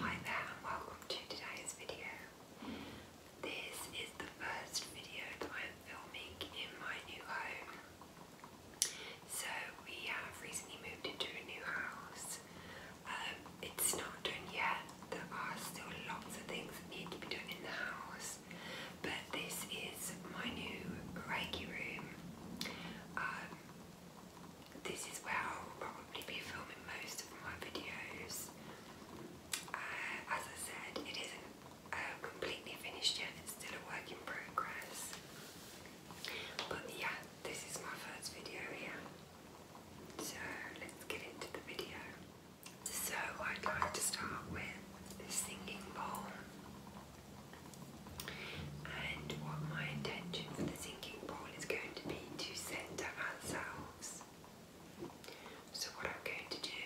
Hi there and welcome to today's video. This is the first video that I am filming in my new home. So we have recently moved into a new house. Um, it's not done yet. There are still lots of things that need to be done in the house. But this is my new Reiki room. Um, this is where I'll probably be filming most of my videos. Uh, as I said, it isn't uh, completely finished yet, it's still a work in progress. But yeah, this is my first video here. So let's get into the video. So I'd like to start with the singing bowl. And what my intention for the singing bowl goal is going to be to centre ourselves. So what I'm going to do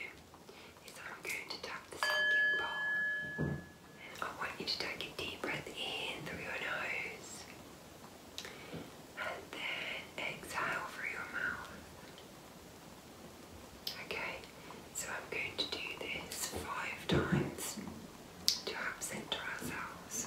is I'm going to tap the sinking bowl and I want you to take a deep breath in through your nose and then exhale through your mouth. Okay, so I'm going to do this five times to help centre ourselves.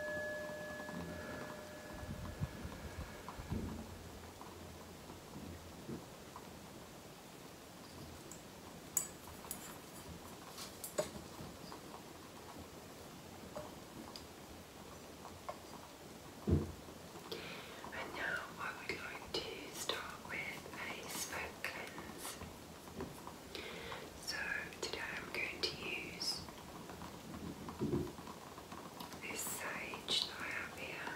And now I would like to start with a smoke so today I'm going to use this sage that I have here.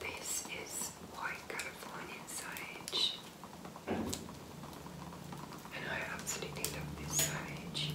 This is white Californian sage, and I absolutely love this sage.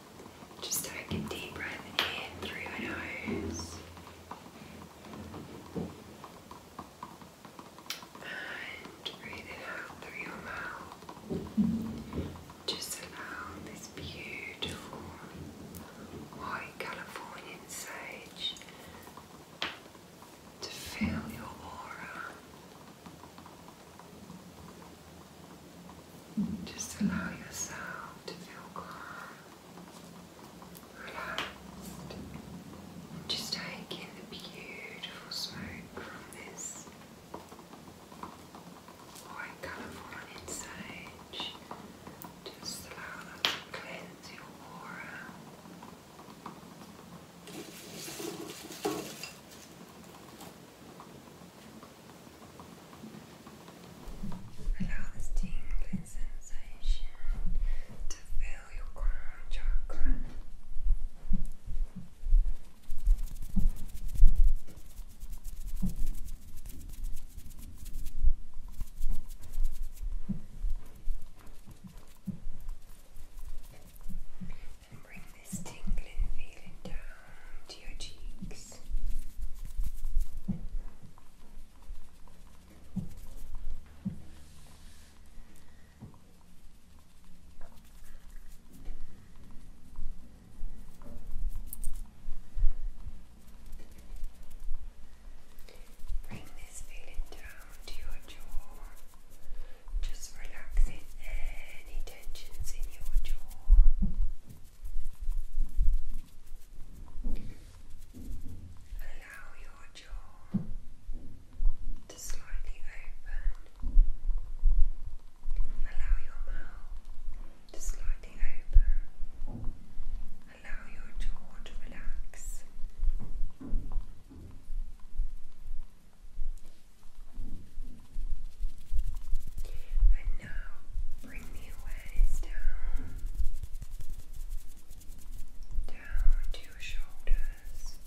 Just take a deep breath in through your nose and breathe it out through your mouth. Just allow this beautiful white Californian sage to fill your aura. Just allow yourself to feel calm just take in the beautiful smoke from this white colourful on its edge. cleanse your aura. Allow this tingling sensation to fill your crown chakra. And bring this tingling feeling down to your cheeks this. Bring this feeling down to your jaw. Just relaxing any tensions in your jaw. Allow your jaw to slightly open. Allow your mouth to slightly open. Allow your jaw to relax. Now bring the waist down, down to your shoulders.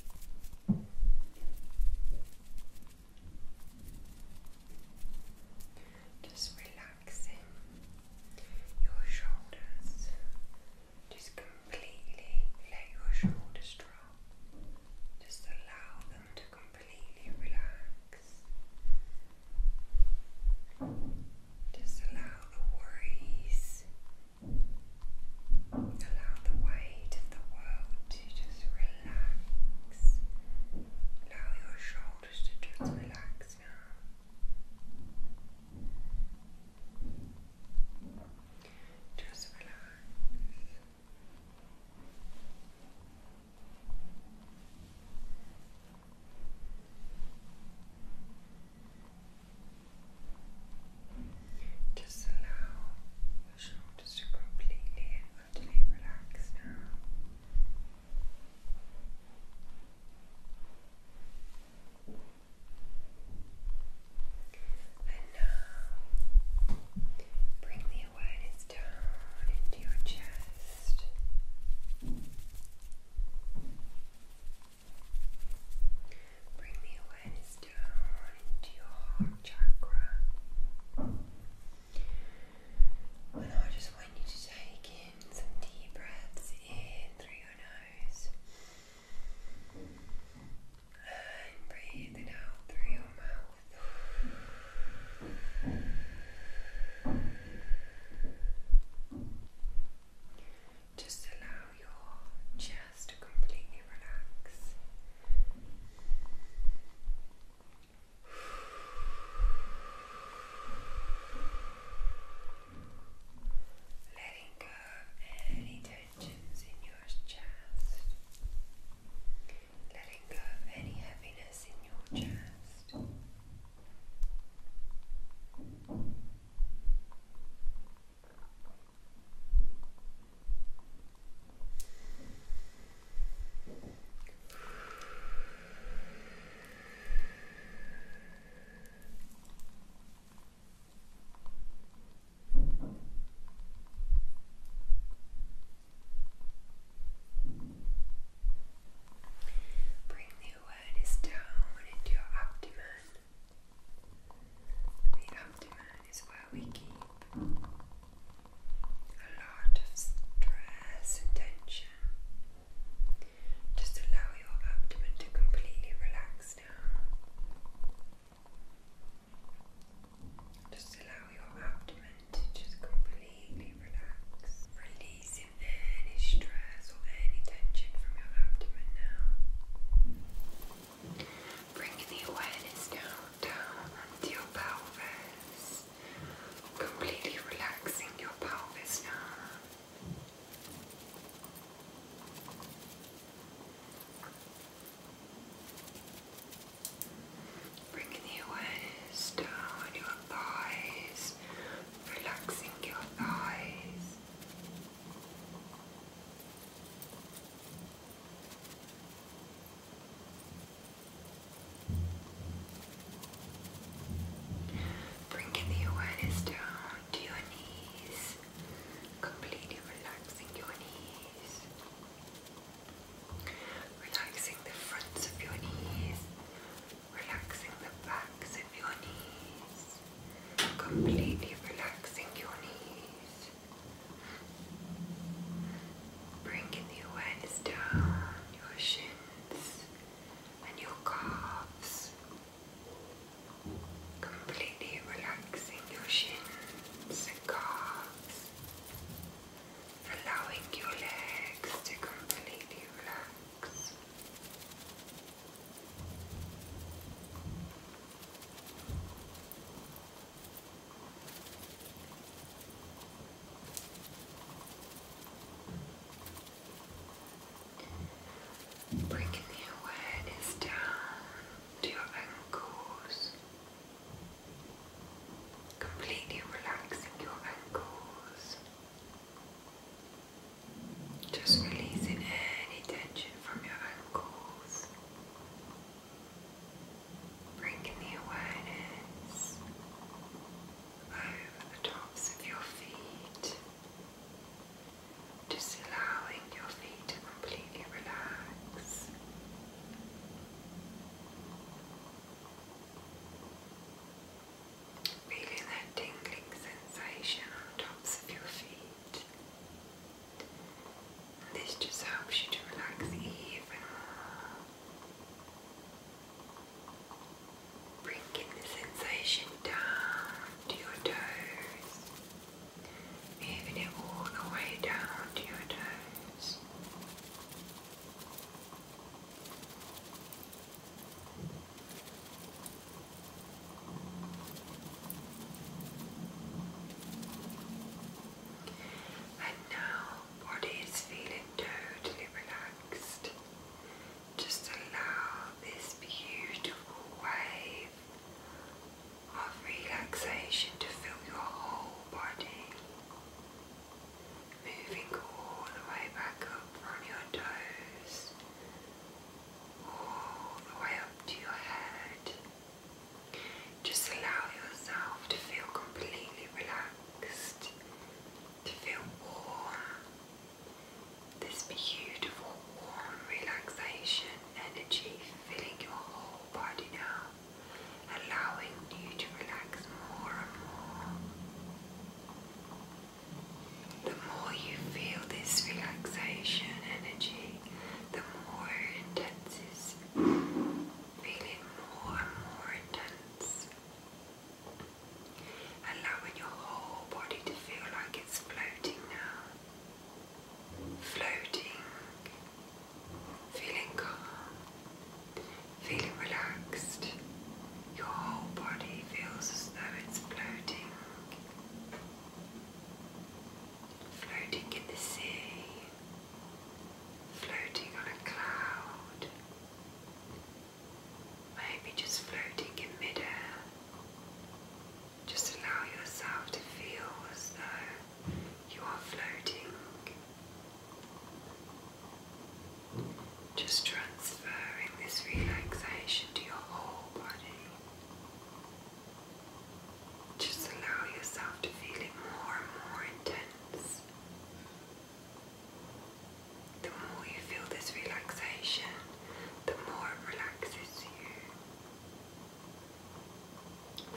Just relaxing your shoulders. Just completely let your shoulders drop. Just allow them to completely relax. Just allow the worries, allow the weight of the world to just relax. Allow your shoulders to just relax now. Just relax. Just allow your shoulders to completely and utterly relax now. And now bring the awareness down into your chest. Bring the awareness down into your heart chakra. And I just want you to take in some deep breaths in through your nose and breathe it out through your mouth. Just allow your chest to completely relax. Letting go of any tensions in your chest. Letting go of any heaviness in your chest. Bring the blood down into your abdomen. The abdomen is where we keep a lot of stress and tension. Just allow your abdomen to completely relax now. Just allow your abdomen to just completely completely relax, releasing any stress or any tension from your abdomen now. Bringing the awareness now down onto your pelvis, completely relaxing your pelvis now. Bringing the awareness down your thighs, relaxing your thighs. Bringing the awareness down to your knees, completely relaxing your knees, relaxing the fronts of your knees, relaxing the backs of your knees, completely relaxing your knees, bringing the awareness down your shins and your calves, completely relaxing your shins and calves. Allowing your legs to completely relax. Bringing the awareness down to your ankles, completely relaxing your ankles. Just releasing any tension from your ankles. Bringing the awareness over the tops of your feet. Just allowing your feet to completely relax. Feeling that tingling sensation on the tops of your feet. this just helps you to relax even more. Bringing the sensation down to your toes. Moving it all the way down to your toes. And now, body is feeling totally relaxed. Just allow this beautiful wave of relaxation to fill your whole body, moving all the way back up from your toes right up to your head. Just allow yourself to feel completely relaxed, to feel warm. This beautiful, warm relaxation energy filling your whole body now, allowing you to relax more and more. The more you feel this relaxation energy, the more intense is feeling more and more intense. Allowing your whole body to feel like it's floating now. Floating, feeling calm, feeling relaxed. Your whole body feels as though it's floating. Floating in the sea, floating on a cloud, maybe just floating in midair. Just allow yourself to feel as though you are floating. Just transferring this relaxation to your whole body. Just allow yourself to feel it more and more intense. The more you feel this relaxation, the more it relaxes you.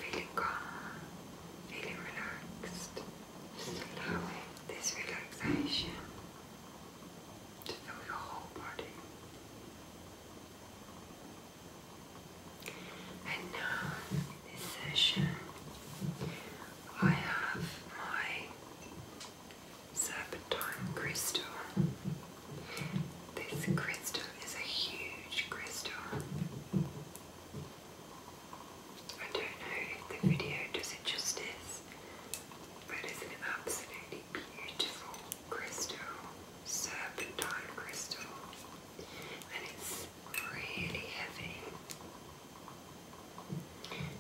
Feeling calm, feeling relaxed, just allowing this relaxation just know your whole body. And now, in this session, I have my serpentine crystal. This crystal is a huge crystal. I don't know if the video does it justice, but it's an absolutely beautiful crystal, serpentine crystal, and it's really heavy.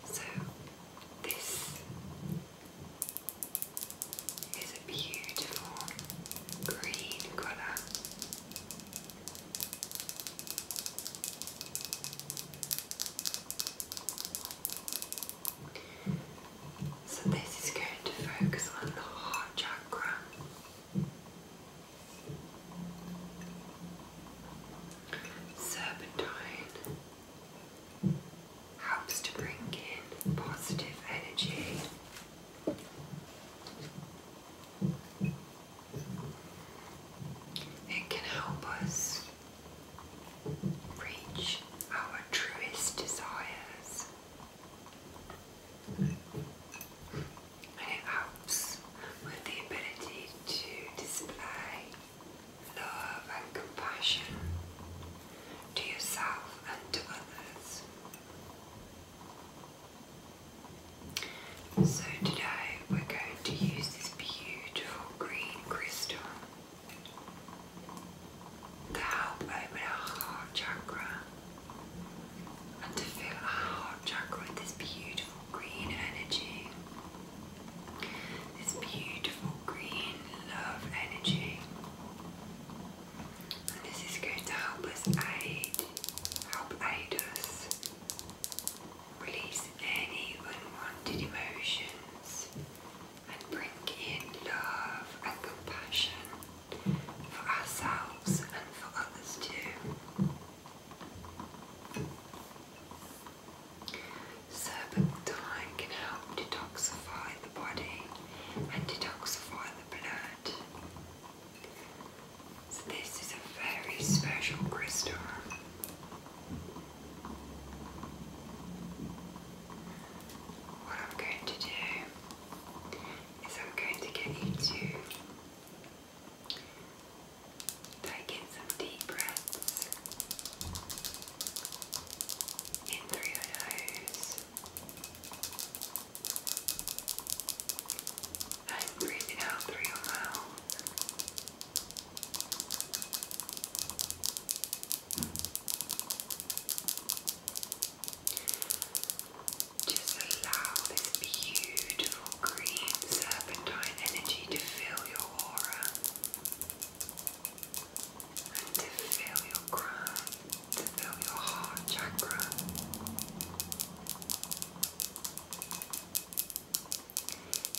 So, this is a beautiful green colour. So, this is going to focus on the heart chakra. Serpentine helps to bring in positive energy. It can help us reach our truest desires. And it helps with the ability to display love and compassion to yourself and to others. So today we're going to use this beautiful green crystal to open our heart chakra and to fill our heart chakra with this beautiful green energy, this beautiful green love energy. And this is going to help us aid, help aid us release any unwanted emotions and bring in love and compassion for ourselves and for others too. Serpentine can help detoxify the body and detoxify the blood. So this is a very special crystal. What I'm going to do is I'm going to get you to take in some deep breaths in through your nose and breathing out through your mouth. Just allow this beautiful green serpentine energy to fill your aura and to fill your crown, to fill your heart chakra.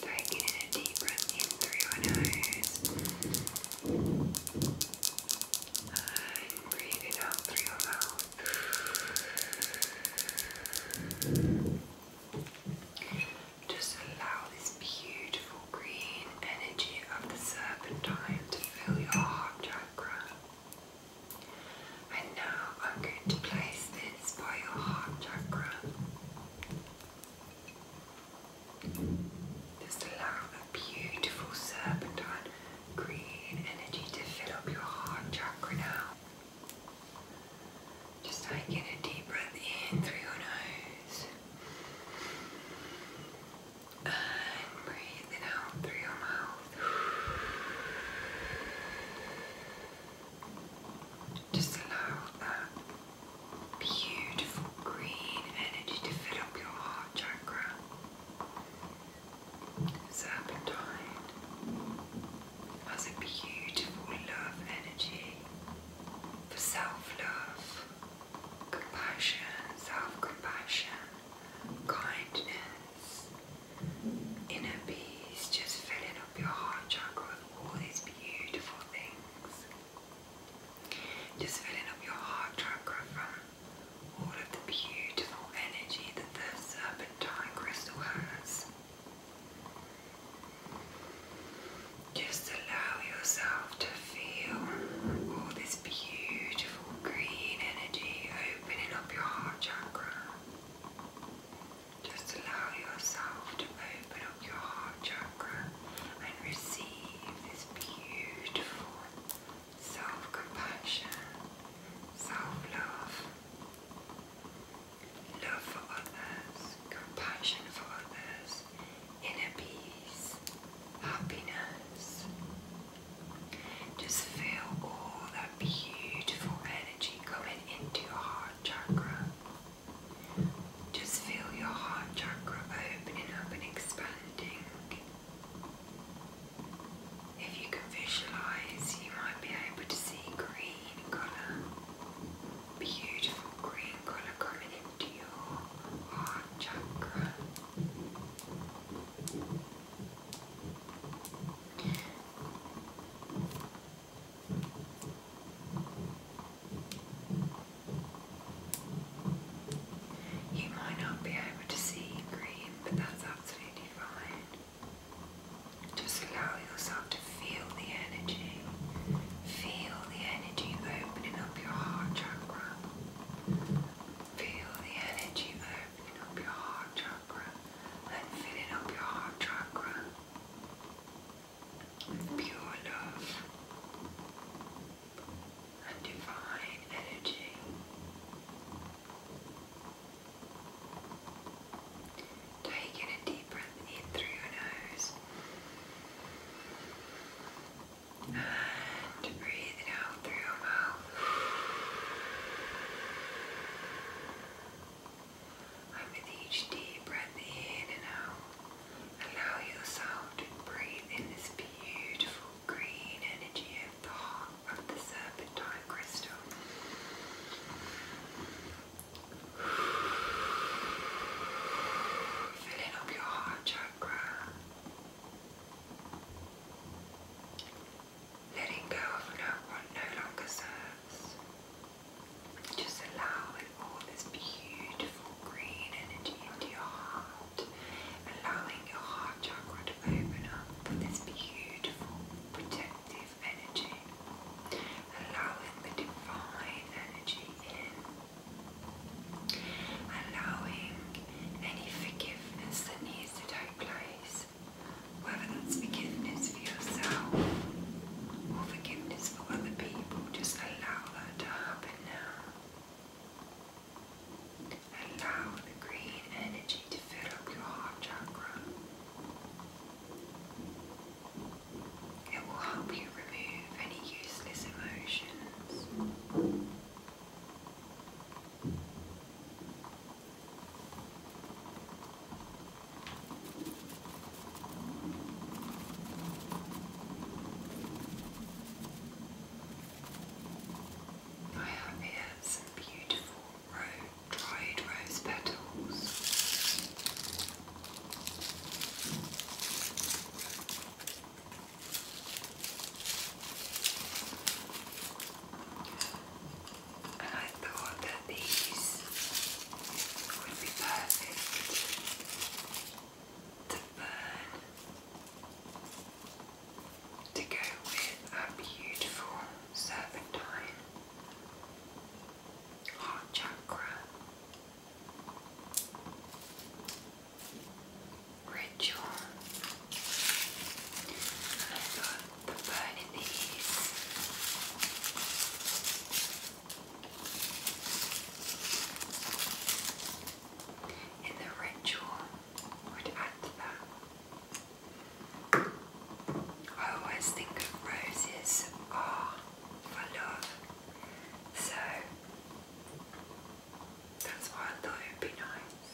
Taking in a deep breath through your nose and breathing out through your mouth. Just allow this beautiful green energy of the serpentine to fill your heart chakra. And now I'm going to place this by your heart chakra. Just allow a beautiful serpentine green energy to fill up your heart chakra now. Just taking a deep breath in through your nose. And breathing out through your mouth. Just allow that beautiful green energy to fill up your heart chakra. Serpentine has a beautiful love energy for self-love, compassion, self-compassion, kindness, inner peace, just filling up your heart chakra with all these beautiful things. Just filling up your heart chakra from all of the beautiful energy that the serpentine crystal has. Just allow yourself to feel all this beautiful green energy opening up your heart chakra. Just allow yourself to open up your heart chakra chakra and receive this beautiful self compassion, self love, love for others, compassion for others, inner peace, happiness. Just feel all that beautiful energy coming into your heart chakra. Just feel your heart chakra opening up and expanding. If you can visualize, you might be able to see green colour, beautiful green colour coming into your heart chakra. You might not be able to see green, but that's absolutely fine. Just allow yourself to feel the energy. Feel the energy opening up your heart chakra. Feel the energy opening up your heart chakra and filling up your heart chakra pure love, and divine energy. Take in a deep breath in through your nose and breathe it out through your mouth. And with each deep breath in and out, Allow yourself to breathe in this beautiful green energy of the heart of the serpentine crystal. Filling up your heart chakra. Letting go of no, what no longer serves. Just allowing all this beautiful green energy into your heart, allowing your heart chakra to open up with this beautiful protective energy, allowing the divine energy in, allowing any forgiveness that needs to take place, whether that's forgiveness for yourself or forgiveness for other people, just allow that to happen now and the green energy to fill up your heart chakra. It will help you remove any useless emotions. I have here some beautiful ro dried rose petals. And I thought that these would be perfect the burn to go with our beautiful serpentine heart chakra ritual. i got the burn in these. In the ritual would add to that. I always think of roses are for love, so that's why I thought it would be nice.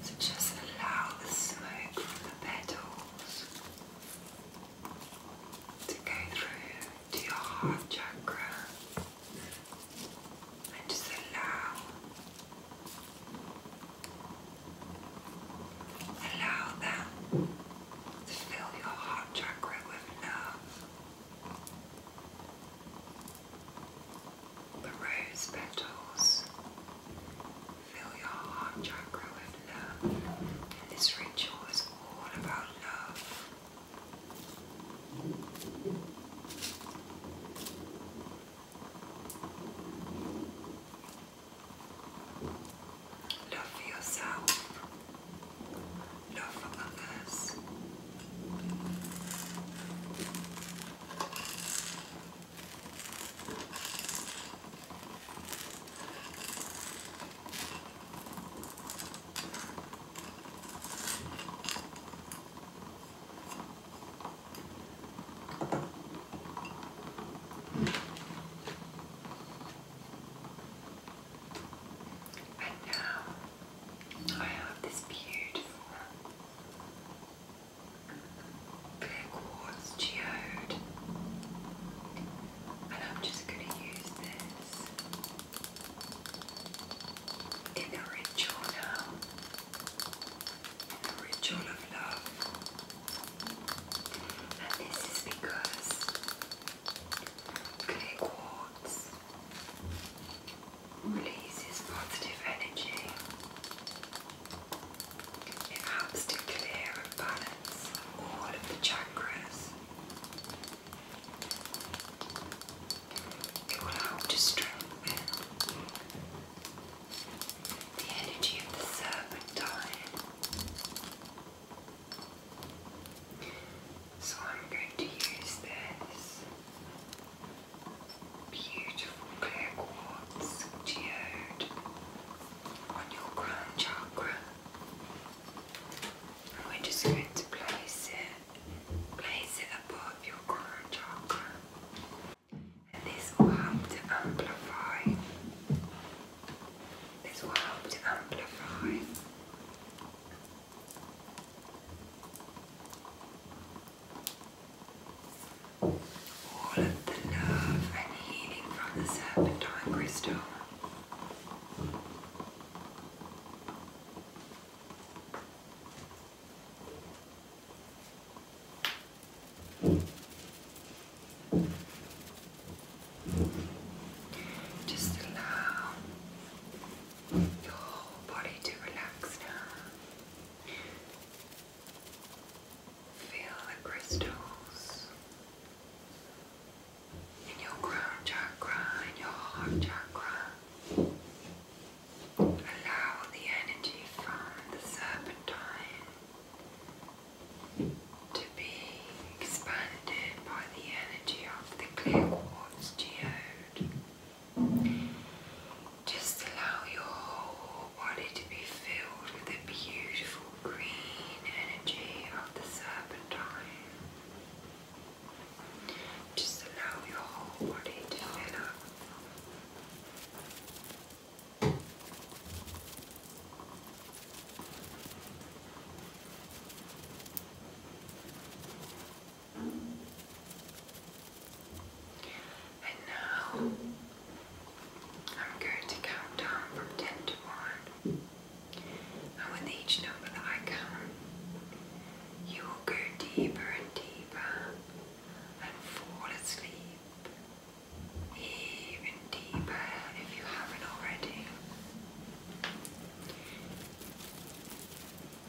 So just allow the smoke from the petals to go through to your heart chakra and just allow, allow that to fill your heart chakra with love. The rose petals fill your heart chakra with love. this ritual is all about love. Love yourself, love others. And now I have this beautiful clear quartz geode, and I'm just going to use this in a ritual in a ritual of love. And this is because clay quartz releases positive energy. It helps to clear and balance all of the chakras. It will help to strengthen the energy of the serpentine. So I'm going to use this beautiful clear quartz geode on your crown chakra. we're just going to place it place it above your coronal chakra. And this will help to amplify. This will help to amplify. All of the love and healing from the serpentine crystal. Just allow your body to relax now. Feel the crystals in your crown chakra, in your heart chakra. Allow the energy from the serpentine to be expanded by the energy of the clear quartz geode. Just allow your whole body to be filled with the beautiful green energy of the serpentine. Just allow your whole body to fill up. And now I'm going to count down from 10 to 1. And with each number that I count, you will go deeper and deeper and fall asleep even deeper if you haven't already.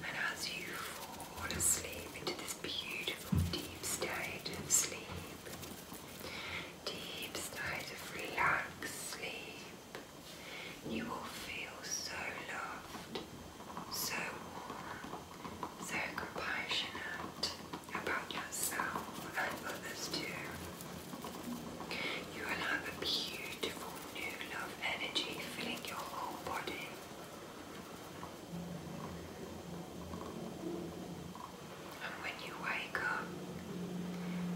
And as you fall asleep into this beautiful deep state of sleep, deep state of relaxed sleep, you will feel so loved so so compassionate about yourself and others too. You will have a beautiful new love energy filling your whole body. And when you wake up,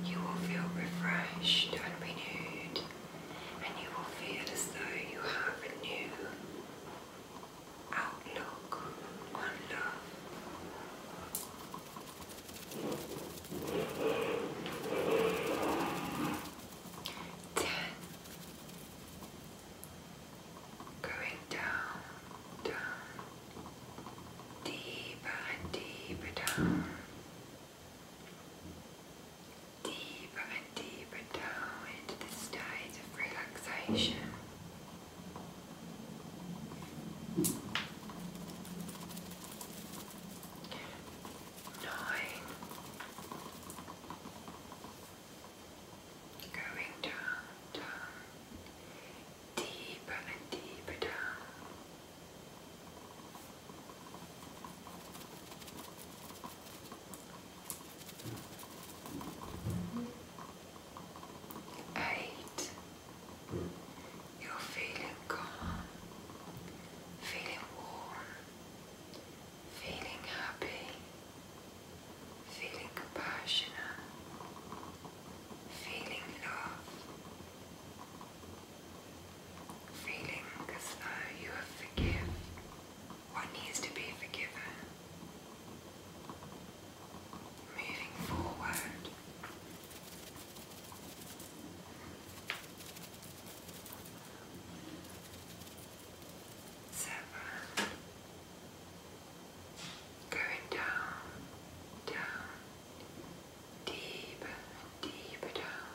you will feel refreshed and renewed and you will feel as though you have a new outlook on love. Ten. Going down, down, deeper and deeper down deeper and deeper down into the state of relaxation. Nine. Going down, down, deeper and deeper down. Eight. You're feeling calm, feeling warm, feeling happy, feeling compassionate, feeling love, feeling as though you have what needs to be forgiven. Moving forward. Seven. Going down, down, deeper and deeper down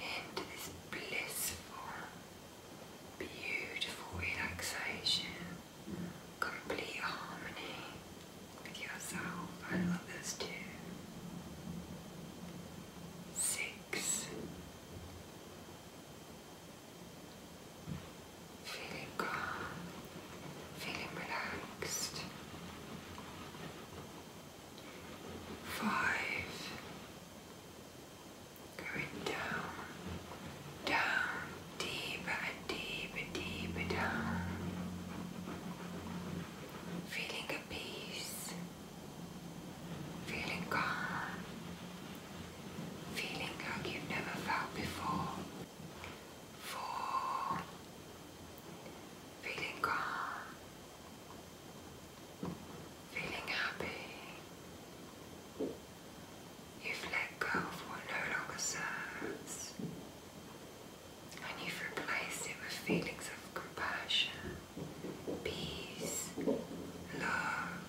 into this blissful, beautiful relaxation, complete harmony with yourself and others too. Six. Feeling calm, feeling relaxed. Five. Going down, down, deeper and deeper, deeper down. Feeling at peace, feeling calm, feeling like you've never felt before. Four, feeling calm, Feeling happy. You've let go of what no longer serves. And you've replaced it with feelings of compassion, peace, love,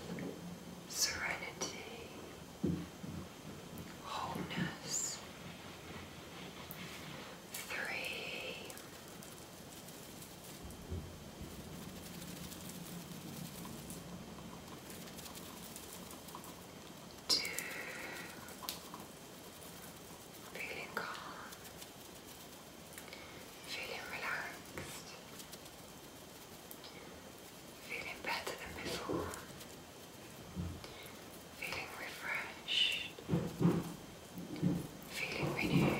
serenity, wholeness. Three. Two. Feeling calm, feeling relaxed, feeling better than before, feeling refreshed, feeling renewed.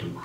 And one.